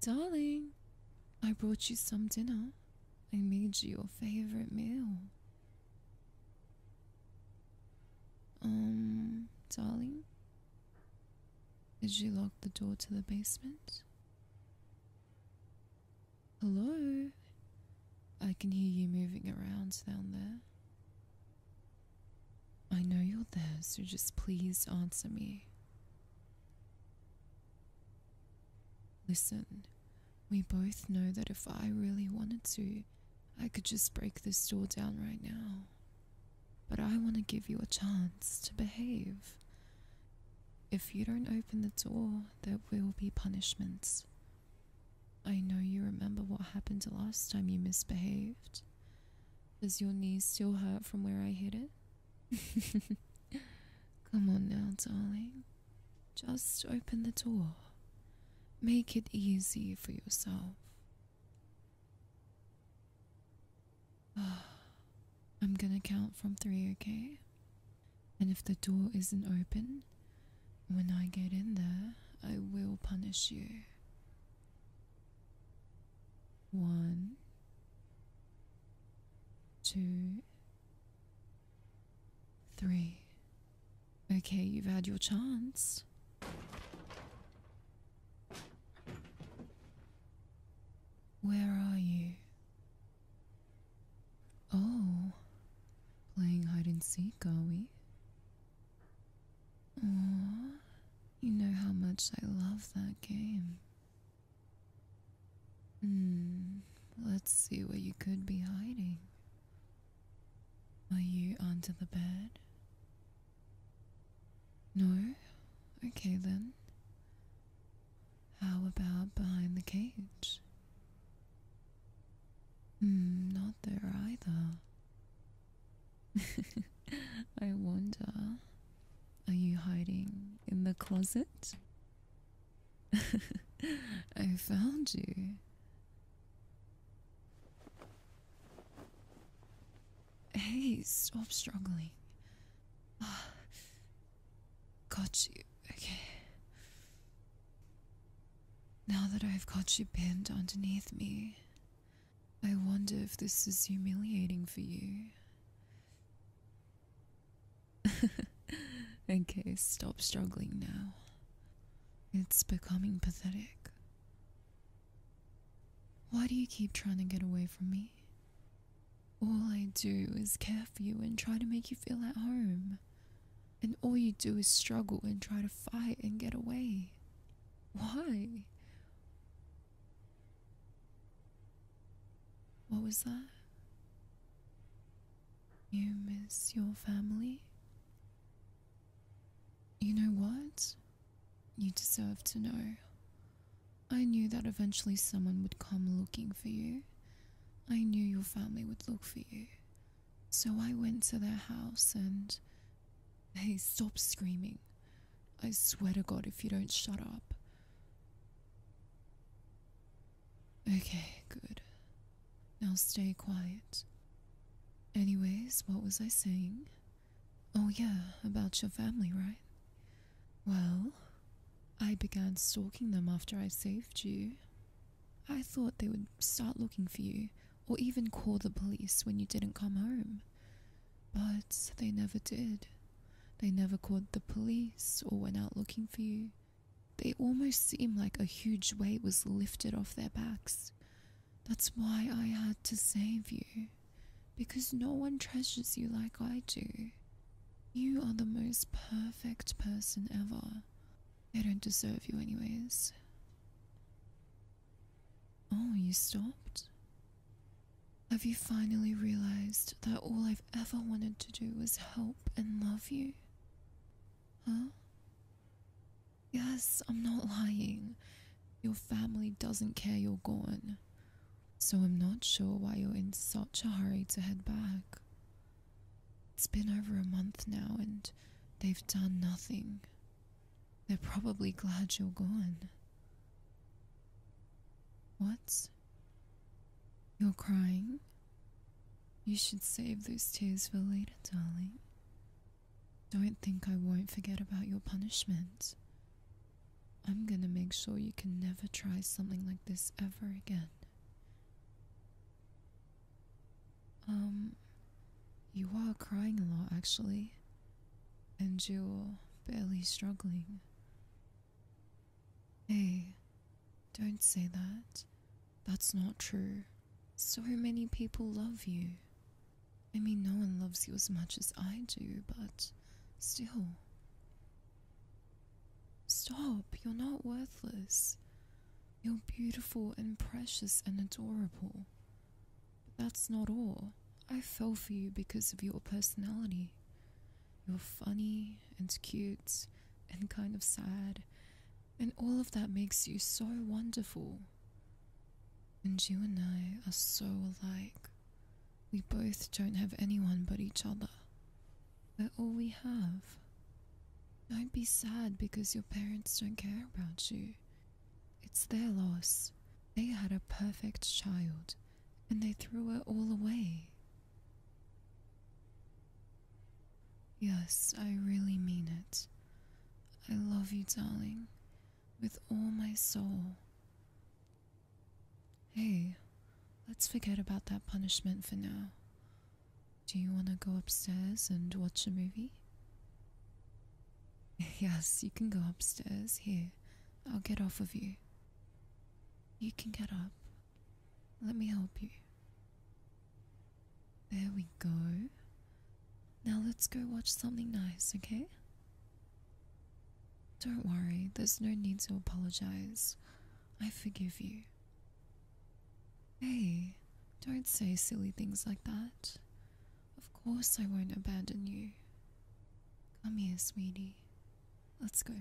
Darling, I brought you some dinner. I made you your favorite meal. Um, darling, did you lock the door to the basement? Hello? I can hear you moving around down there. I know you're there, so just please answer me. Listen, we both know that if I really wanted to, I could just break this door down right now. But I want to give you a chance to behave. If you don't open the door, there will be punishments. I know you remember what happened the last time you misbehaved. Does your knee still hurt from where I hit it? Come on now, darling. Just open the door. Make it easy for yourself. I'm gonna count from three, okay? And if the door isn't open, when I get in there, I will punish you. One, two, three. Okay, you've had your chance. Where are you? Oh, playing hide and seek, are we? Aww, you know how much I love that game. Hmm, let's see where you could be hiding. Are you under the bed? No? Okay then. How about behind the cage? Hmm, not there either. I wonder, are you hiding in the closet? I found you. Hey, stop struggling. Got you. Okay. Now that I've got you bent underneath me, I wonder if this is humiliating for you. okay, stop struggling now. It's becoming pathetic. Why do you keep trying to get away from me? All I do is care for you and try to make you feel at home. And all you do is struggle and try to fight and get away. Why? What was that? You miss your family? You know what? You deserve to know. I knew that eventually someone would come looking for you. I knew your family would look for you. So I went to their house and. Hey, stop screaming. I swear to God, if you don't shut up. Okay, good. Now stay quiet. Anyways, what was I saying? Oh, yeah, about your family, right? Well, I began stalking them after I saved you. I thought they would start looking for you or even call the police when you didn't come home. But they never did. They never called the police or went out looking for you. They almost seemed like a huge weight was lifted off their backs. That's why I had to save you because no one treasures you like I do. You are the most perfect person ever. I don't deserve you, anyways. Oh, you stopped? Have you finally realized that all I've ever wanted to do was help and love you? Huh? Yes, I'm not lying. Your family doesn't care you're gone so I'm not sure why you're in such a hurry to head back. It's been over a month now, and they've done nothing. They're probably glad you're gone. What? You're crying? You should save those tears for later, darling. Don't think I won't forget about your punishments. I'm gonna make sure you can never try something like this ever again. Um, you are crying a lot actually, and you're barely struggling. Hey, don't say that. That's not true. So many people love you. I mean, no one loves you as much as I do, but still, Stop, you're not worthless. You're beautiful and precious and adorable. But that's not all. I fell for you because of your personality. You're funny and cute and kind of sad, and all of that makes you so wonderful. And you and I are so alike. We both don't have anyone but each other. We're all we have. Don't be sad because your parents don't care about you. It's their loss. They had a perfect child, and they threw it all away. Yes, I really mean it. I love you, darling, with all my soul. Hey, let's forget about that punishment for now. Do you want to go upstairs and watch a movie? Yes, you can go upstairs. Here, I'll get off of you. You can get up. Let me help you. There we go. Now let's go watch something nice, okay? Don't worry, there's no need to apologize. I forgive you. Hey, don't say silly things like that. Of course, I won't abandon you. Come here, sweetie. Let's go.